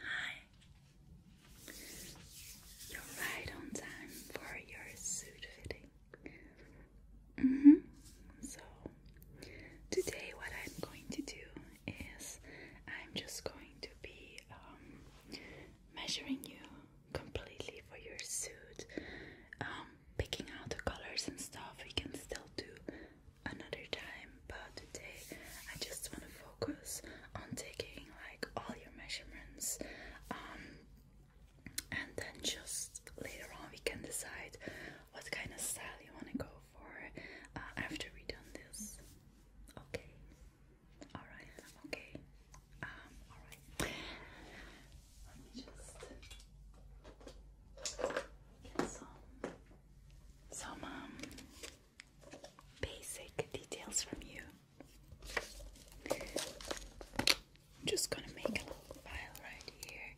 Hi. You're right on time for your suit fitting. Mm-hmm. So, today what I'm going to do is I'm just going to be um, measuring you completely for your suit, um, picking out the colors and stuff. We can still do another time, but today I just want to focus on taking like all your measurements um, and then just later on we can decide what kind of style you want to go for uh, after we done this. Okay. Alright, okay. Um, alright. Let me just get some um basic details from you. just gonna make a little pile right here.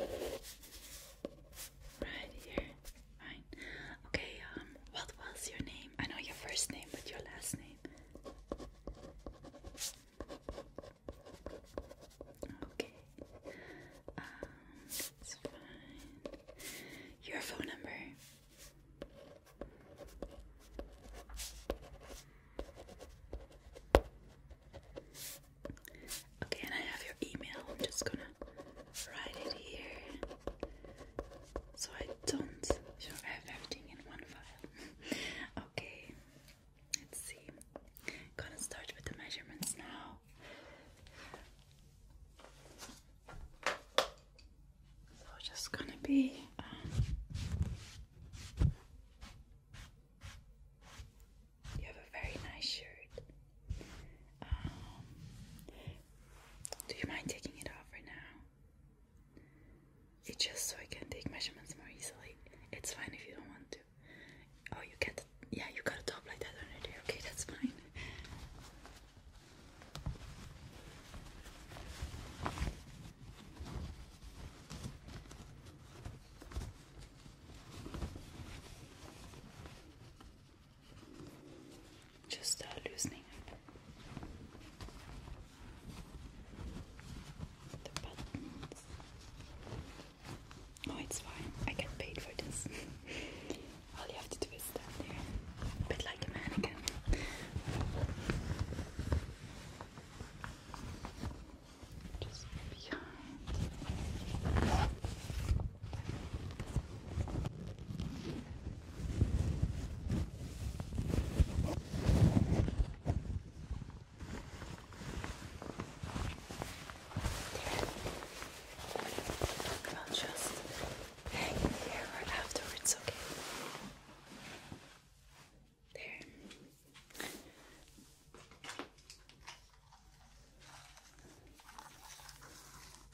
Um, right here. Fine. Okay, um, what was your name? I know your first name, but your last name. Okay. Um, your phone number. Okay, and I have your email. I'm just gonna write it here so I don't sure I have everything in one file. okay, let's see. Gonna start with the measurements now. So just gonna be um, you have a very nice shirt. Um, do you mind taking it off right now? It's just so I can take measurements more easily. It's fine if you don't want to. Oh, you get yeah, you got a top like that already. Okay, that's fine. Just loosening up Oh, it's fine. I get paid for this. All you have to do is stand there, a bit like a mannequin. Just behind i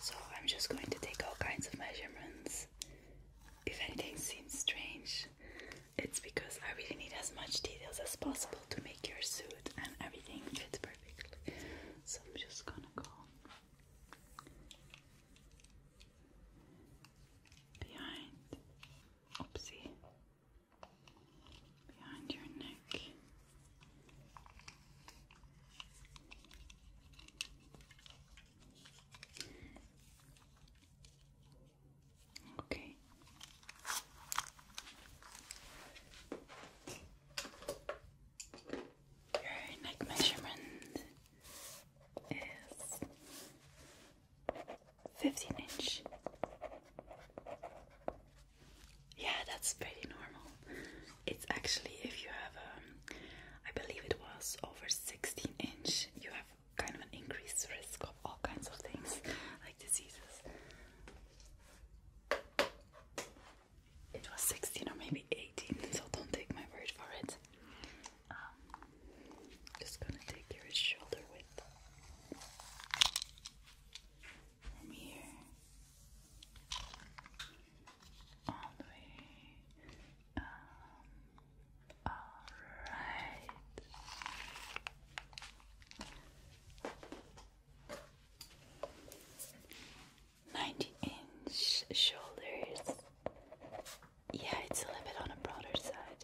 So I'm just going to take all kinds of measurements. If anything seems strange, it's because I really need as much details as possible to make your suit and everything fit perfectly. So I'm just gonna go behind, oopsie, behind your neck. Okay. Your neck measurement is 15 inch. Yeah, that's pretty normal. It's actually if you have, a, um, I believe it was over 16 inch, you have kind of an increased risk of all kinds of things like diseases. It was 16 or maybe 18, so don't take my word for it. Um, just gonna take your shoulder width from here all the way. Um, all right. 90 inch shoulders. Yeah, it's a little bit on a broader side.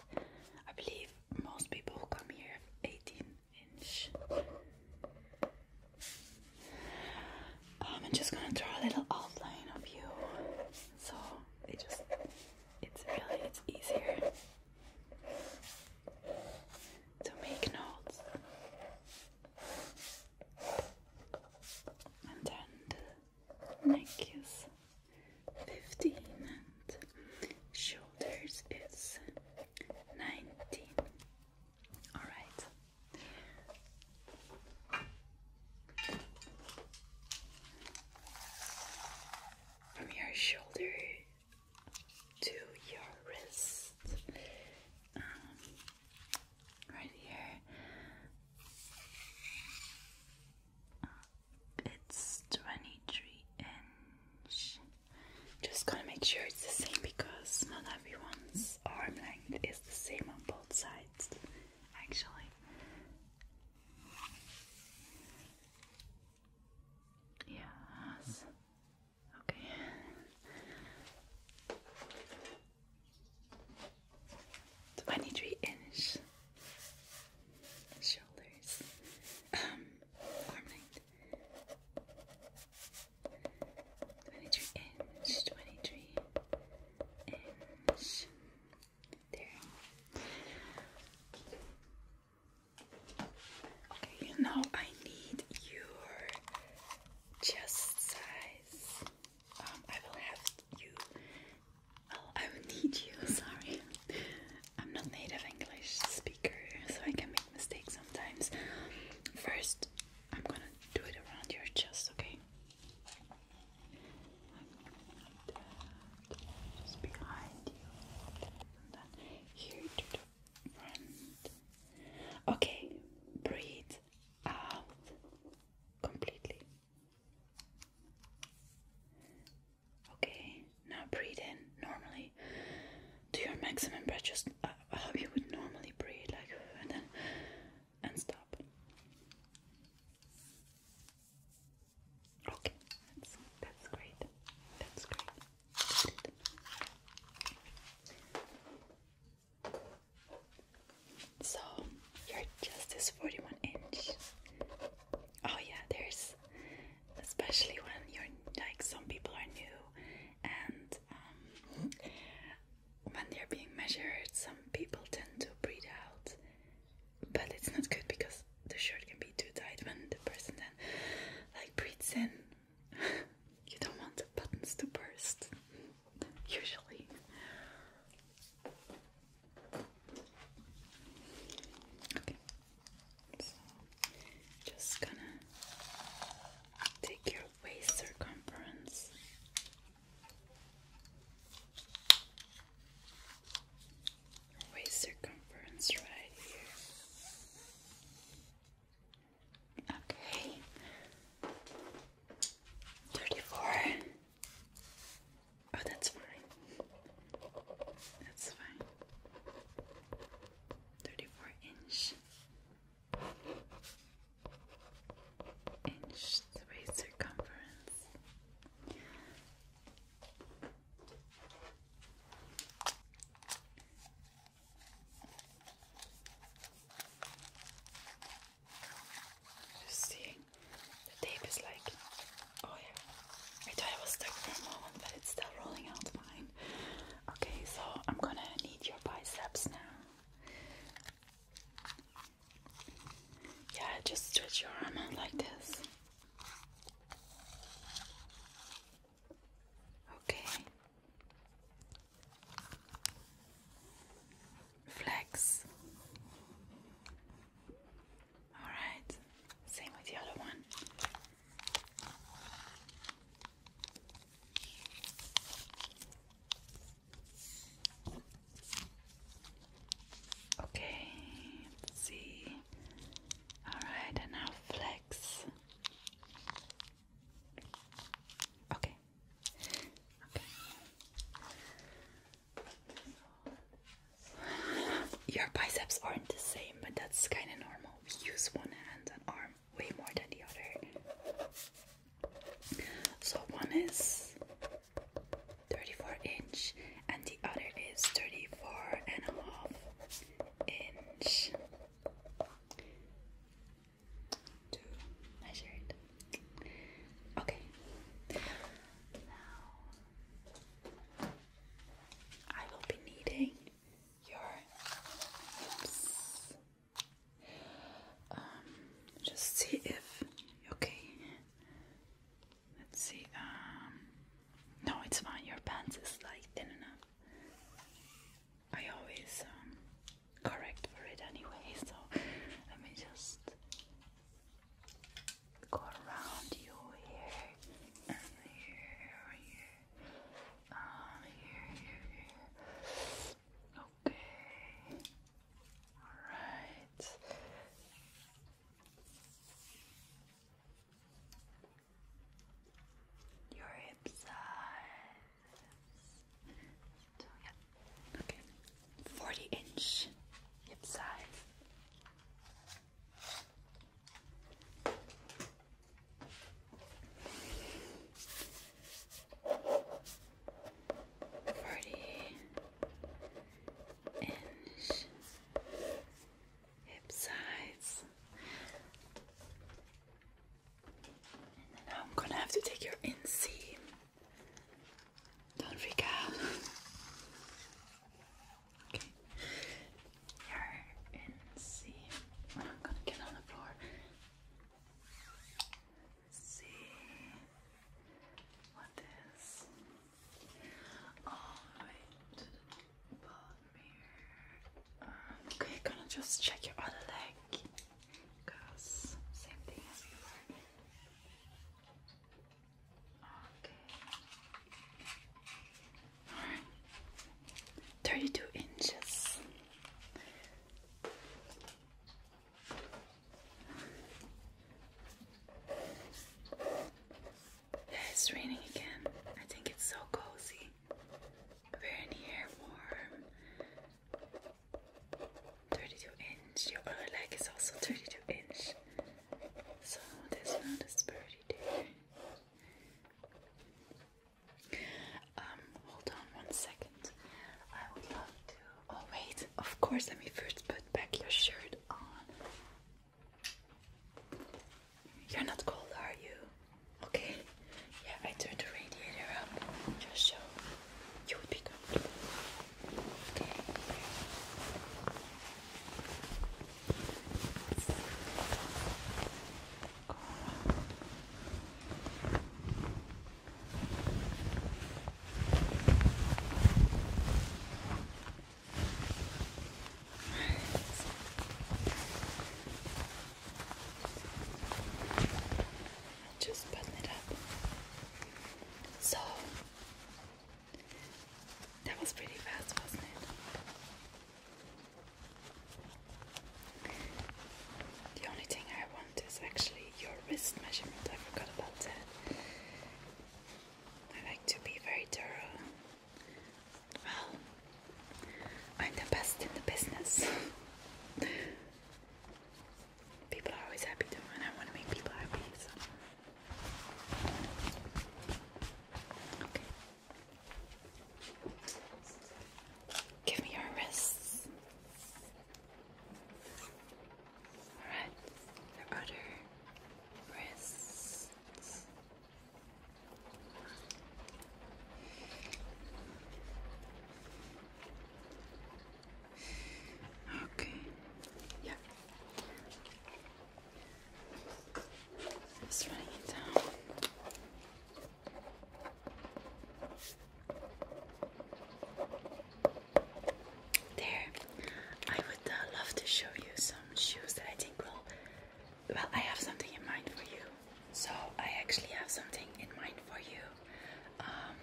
I believe most people who come here have 18 inch. Um, I'm just gonna draw a little outline of you. So it just it's really it's easier. So make knots, and then neck is 15 and shoulders is 19. All right. From your shoulder to your wrist, um, right here. Uh, it's 23 inch. Just gonna make sure it's the same because not everyone's arm length is the same on both sides, actually. Yes. Okay. Twenty-three inches shoulders, um, arm length. Twenty-three inch, twenty-three inch. There. Okay, now I need your chest size. Um, I will have you. Oh, I will need you. Sorry, I'm not native English speaker, so I can make mistakes sometimes. First, I'm gonna do it around your chest. Okay. Just behind you, and then here to Okay, breathe out completely. Okay, now breathe in normally to your maximum breath, just uh, how you would normally breathe, like and then and stop. Okay, that's that's great. That's great. So your chest is 41 inch. Oh yeah, there's especially when you're like some people are new and um, when they're being measured, some people tend to breathe out, but it's not good because the shirt can be too tight when the person then like breathes in. you don't want the buttons to burst, usually. Okay, just gonna take your waist circumference waist circumference right here. Okay. 34. Oh, that's fine. That's fine. 34 inch. Inch waist circumference. Just seeing the tape is like, oh yeah, I thought I was stuck for a moment, but it's still rolling out fine. Okay, so I'm gonna need your biceps now. Yeah, just stretch your arm like this. Okay. Flex. All right. Same with the other one. Okay, let's see. All right, and now flex. Okay. Okay. Your biceps aren't the same, but that's kind of normal. We use one hand and arm way more than the other. So one is 34 inch and the other is 34 and a half inch to measure it. Okay, now I will be needing your hips. Um, just see if okay. Let's see. Um, no, it's fine. Your pants is like thin enough. I always um, correct for it anyway. So let me just go around you here here, here, um, here, here, here. Okay. All right your hip size. okay, forty inch hip size. Forty inch hip sides. now I'm gonna have to take your inseam. Don't freak out. okay. Your inseam. I'm gonna get on the floor. see what okay, gonna just check your other leg. Because same thing as before. Okay. Alright. 32 inches. Yeah, it's raining again. I think it's so cozy. we warm. 32 inch. Your other leg is also 32 inch. So there's no disparity there. Um, hold on one second. I would love to. Oh, wait. Of course, let me first put back your shirt on. You're not cold, are you? Okay. Yeah, I turned the radiator up just so you would be cold. Okay just button it up. So that was pretty fast, wasn't it? The only thing I want is actually your wrist measurement. I forgot about that. I like to be very thorough well, I'm the best in the business. people are always happy and I want to make people happy. So. Give me your wrists. Alright, the other wrists. Okay. Yeah. Just running it down. There. I would uh, love to show you some shoes that I think will. Well, I have something in mind for you. So I actually have something in mind for you. Um,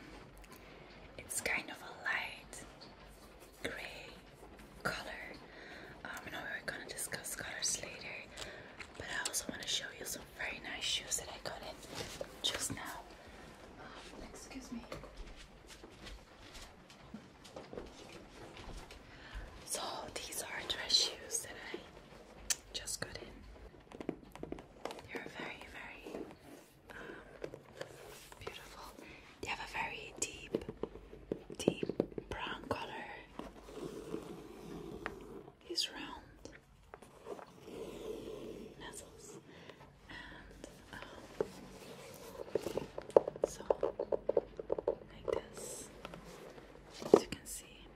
it's kind of a light gray color. I um, know we are gonna discuss colors later, but I also want to show you some very nice shoes that I got in just now. Um, excuse me. So these are dress shoes that I just got in. They're very, very um, beautiful. They have a very deep, deep brown color. These round. Nestles and so, like this, as you can see,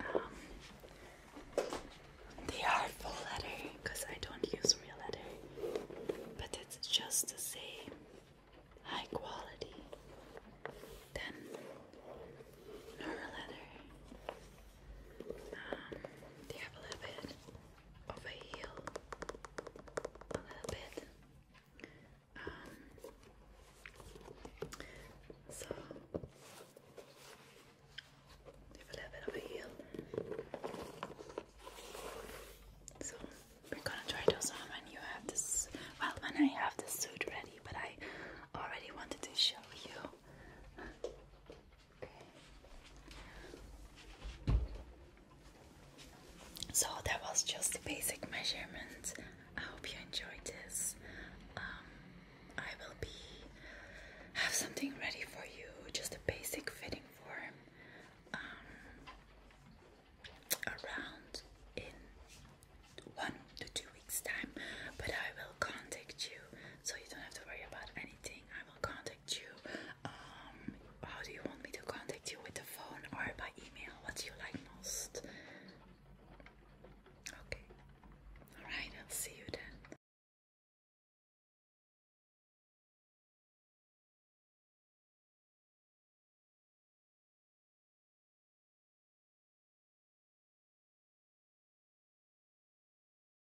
um, they are full letter because I don't use real letter, but it's just the same high quality than her letter. Um, they have a little bit over here a little bit. Um, so a little bit over here. So we're gonna try those on when you have this. Well, when I have the suit ready, but I already wanted to show you. So that was just the basic measurement. I hope you enjoyed this. Um, I will be have something ready for you, just a basic fitting form um, around in one to two weeks time. But I will contact you, so you don't have to worry about anything. I will contact you. Um, how do you want me to contact you with the phone or by email? What do you like most? Okay. Alright, I'll see you then.